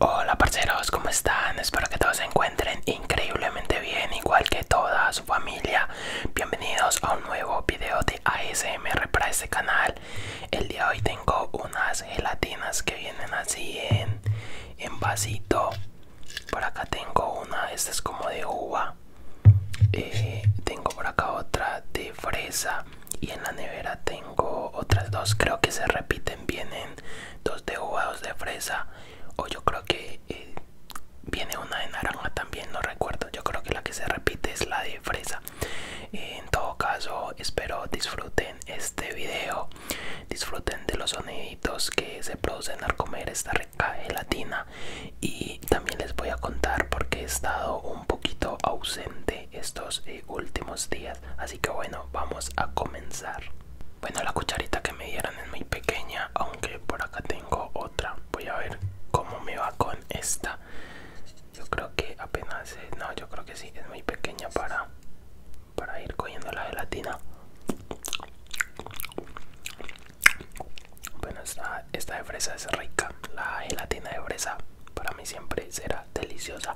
Hola parceros, ¿cómo están? Espero que todos se encuentren increíblemente bien, igual que toda su familia. Bienvenidos a un nuevo video de ASMR para este canal. El día de hoy tengo unas gelatinas que vienen así en, vasito. Por acá tengo una, esta es como de uva. Eh, tengo por acá otra de fresa. Y en la nevera tengo otras dos, creo que se repiten vienen dos de uva, de fresa o yo creo que eh, viene una de naranja también, no recuerdo. Yo creo que la que se repite es la de fresa. en todo caso, espero disfruten este video, disfruten de los soniditos que se producen al comer esta rica gelatina y también les voy a contar porque he estado un poquito ausente estos eh, últimos días así que bueno vamos a comenzar bueno la cucharita que me dieron es muy pequeña aunque por acá tengo otra voy a ver cómo me va con esta yo creo que apenas eh, no yo creo que sí es muy pequeña para para ir cogiendo la gelatina bueno esta, esta de fresa es rica la gelatina de fresa para mí siempre será deliciosa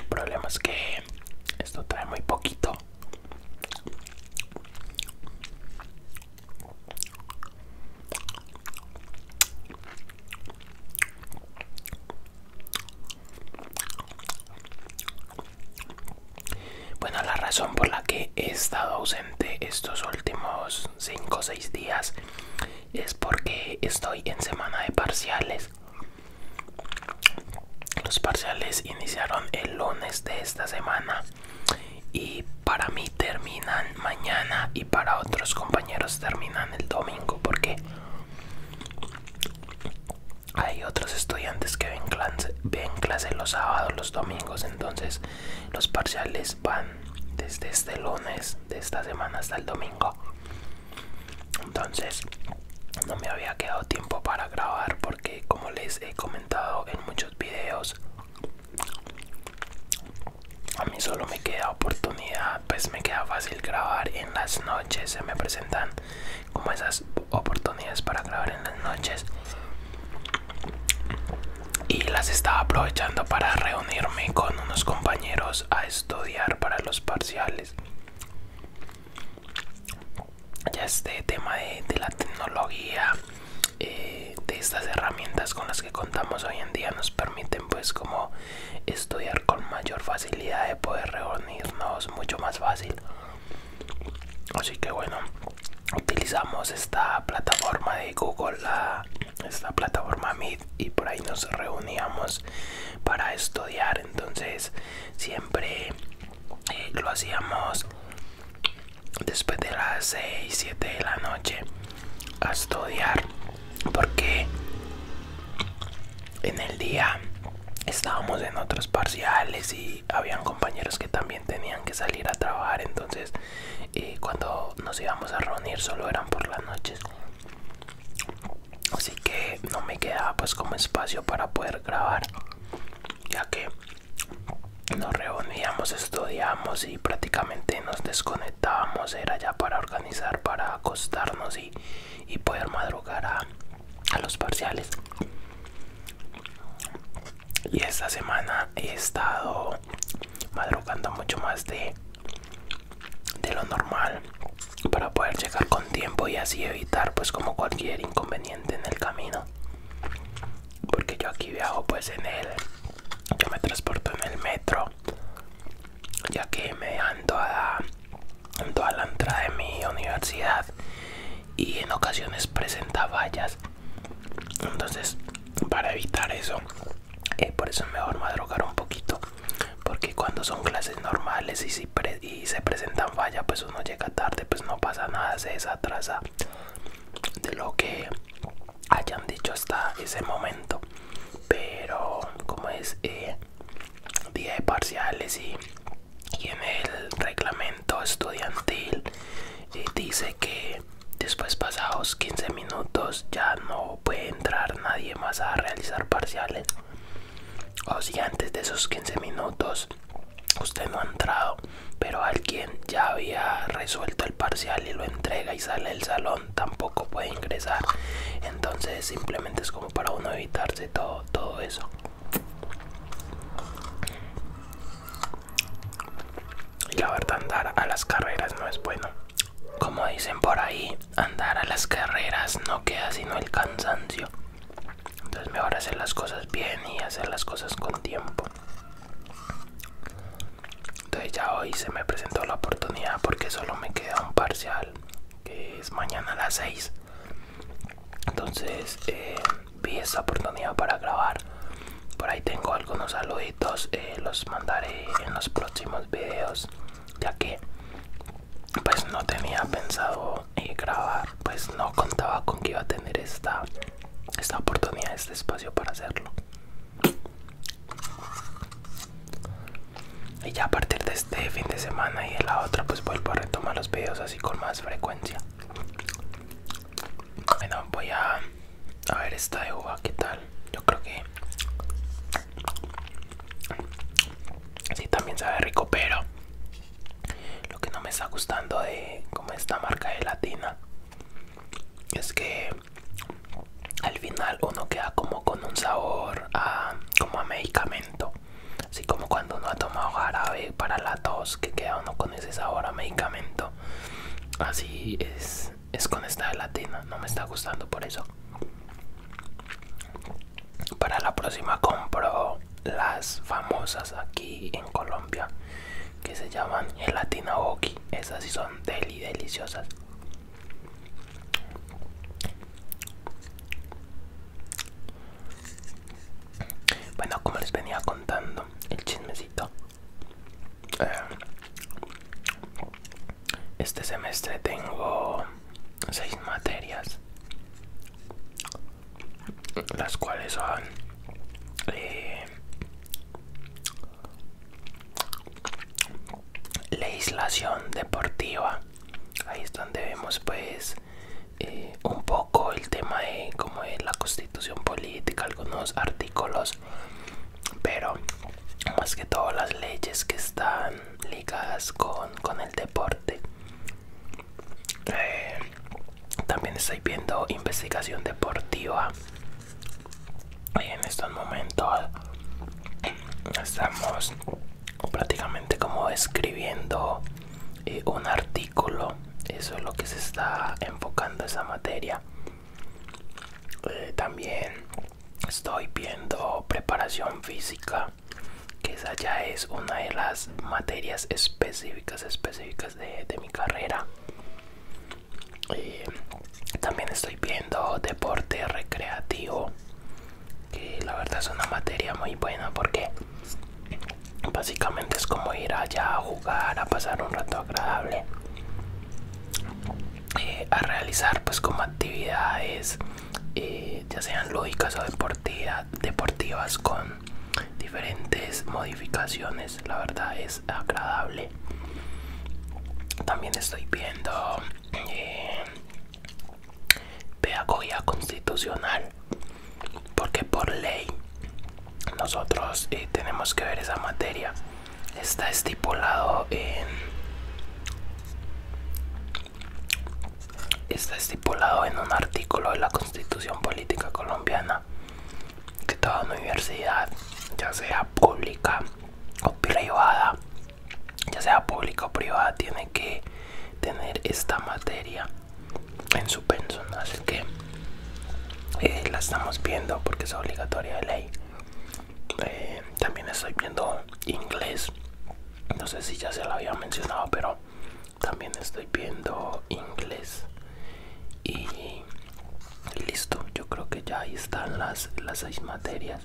el problema es que esto trae muy poquito. Bueno, la razón por la que he estado ausente estos últimos 5 o 6 días es porque estoy en semana de parciales. Los parciales iniciaron el lunes de esta semana y para mí terminan mañana y para otros compañeros terminan el domingo porque hay otros estudiantes que ven clase, ven clase los sábados, domingos entonces los parciales van desde este lunes de esta semana hasta el domingo entonces no me había quedado tiempo para grabar porque como les he comentado en muchos videos a mí solo me queda oportunidad pues me queda fácil grabar en las noches se me presentan como esas oportunidades para grabar en las noches y las estaba aprovechando para reunirme con unos compañeros a estudiar para los parciales ya este tema de, la tecnología eh, de estas herramientas con las que contamos hoy en día nos permiten pues como estudiar con mayor facilidad de poder reunirnos mucho más fácil así que bueno utilizamos esta plataforma de Google, esta plataforma Meet y por ahí nos reuníamos para estudiar. Entonces siempre eh, lo hacíamos después de las 6, 7 de la noche a estudiar porque en el día estábamos en otros parciales y habían compañeros que también tenían que salir a trabajar entonces eh, cuando nos íbamos a reunir solo eran por las noches así que no me quedaba pues como espacio para poder grabar ya que nos reuníamos estudiamos y prácticamente nos desconectábamos era ya para organizar para acostarnos y, poder madrugar a los parciales y esta semana he estado madrugando mucho más de, lo normal para poder llegar con tiempo y así evitar pues como cualquier inconveniente en el camino porque yo aquí viajo pues en el yo me transporto en el metro ya que me dejan toda, toda la entrada de mi universidad y en ocasiones presenta vallas entonces para evitar eso eh, por eso es mejor madrugar un poquito porque cuando son clases normales y, si y se presentan fallas pues uno llega tarde pues no pasa nada se desatrasa de lo que hayan dicho hasta ese momento pero como es eh, día de parciales y, y en el reglamento estudiantil eh, dice que después pasados 15 minutos ya no puede entrar nadie más a realizar parciales o si antes de esos 15 minutos usted no ha entrado pero alguien ya había resuelto el parcial y lo entrega y sale del salón tampoco puede ingresar entonces simplemente es como para uno evitarse todo, todo eso y la verdad andar a las carreras no es bueno. Como dicen por ahí, andar a las carreras no queda sino el cansancio. Entonces mejor hacer las cosas bien y hacer las cosas con tiempo. Entonces ya hoy se me presentó la oportunidad porque solo me queda un parcial que es mañana a las 6. Entonces eh, vi esta oportunidad para grabar. Por ahí tengo algunos saluditos, eh, los mandaré en los próximos videos, ya que pues no tenía pensado eh, grabar, pues no contaba con que iba a tener esta, esta oportunidad, este espacio para hacerlo. Y ya a partir de este fin de semana y en la otra pues vuelvo a retomar los videos así con más frecuencia. Bueno, voy a, ver esta de uva, ¿qué tal? Yo creo que... Sí, también sabe rico, pero lo que no me está gustando de como esta marca de latina es que al final uno queda como con un sabor a, como a medicamento, así como cuando uno ha tomado jarabe eh, para la tos que queda uno con ese sabor a medicamento. Así es, es con esta gelatina, no me está gustando por eso. Para la próxima compro las famosas aquí en Colombia que se llaman gelatina Oki Esas sí son deli deliciosas. Bueno, como les venía contando el chismecito, eh, este semestre tengo seis materias, las cuales son la eh, legislación deportiva. Ahí es donde vemos pues eh, un poco el tema de como es la constitución política, algunos artículos, pero más que todo las leyes que están ligadas con, el deporte. Eh, también estoy viendo investigación deportiva. Y en estos momentos estamos prácticamente como escribiendo eh, un artículo eso es lo que se está enfocando esa materia eh, también estoy viendo preparación física que esa ya es una de las materias específicas específicas de, mi carrera eh, también estoy viendo deporte recreativo que la verdad es una materia muy buena porque Básicamente es como ir allá a jugar, a pasar un rato agradable, eh, a realizar pues como actividades, eh, ya sean lúdicas o deportivas con diferentes modificaciones. La verdad es agradable. También estoy viendo eh, pedagogía constitucional porque por ley nosotros eh, tenemos que ver esa materia está estipulado en está estipulado en un artículo de la constitución política colombiana que toda universidad ya sea pública o privada ya sea pública o privada tiene que tener esta materia en su pensión así que eh, la estamos viendo porque es obligatoria de ley eh, también estoy viendo inglés no sé si ya se lo había mencionado pero también estoy viendo inglés y listo yo creo que ya ahí están las, las seis materias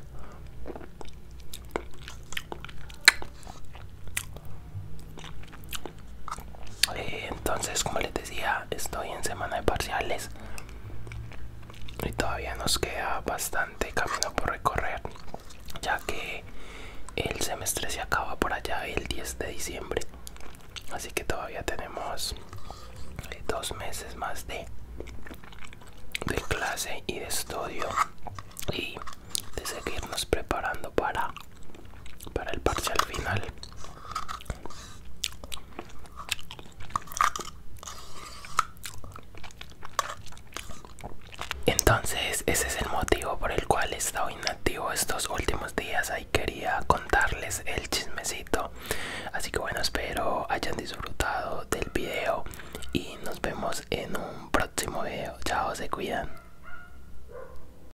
eh, entonces como les decía estoy en semana de parciales y todavía nos queda bastante camino por recorrer ya que el semestre se acaba por allá el 10 de diciembre así que todavía tenemos eh, dos meses más de, de clase y de estudio y de seguirnos preparando para el parcial final entonces ese es el motivo por el cual he estado inactivo estos últimos días. Ahí quería contarles el chismecito. Así que bueno, espero hayan disfrutado del video y nos vemos en un próximo video. Chao, se cuidan.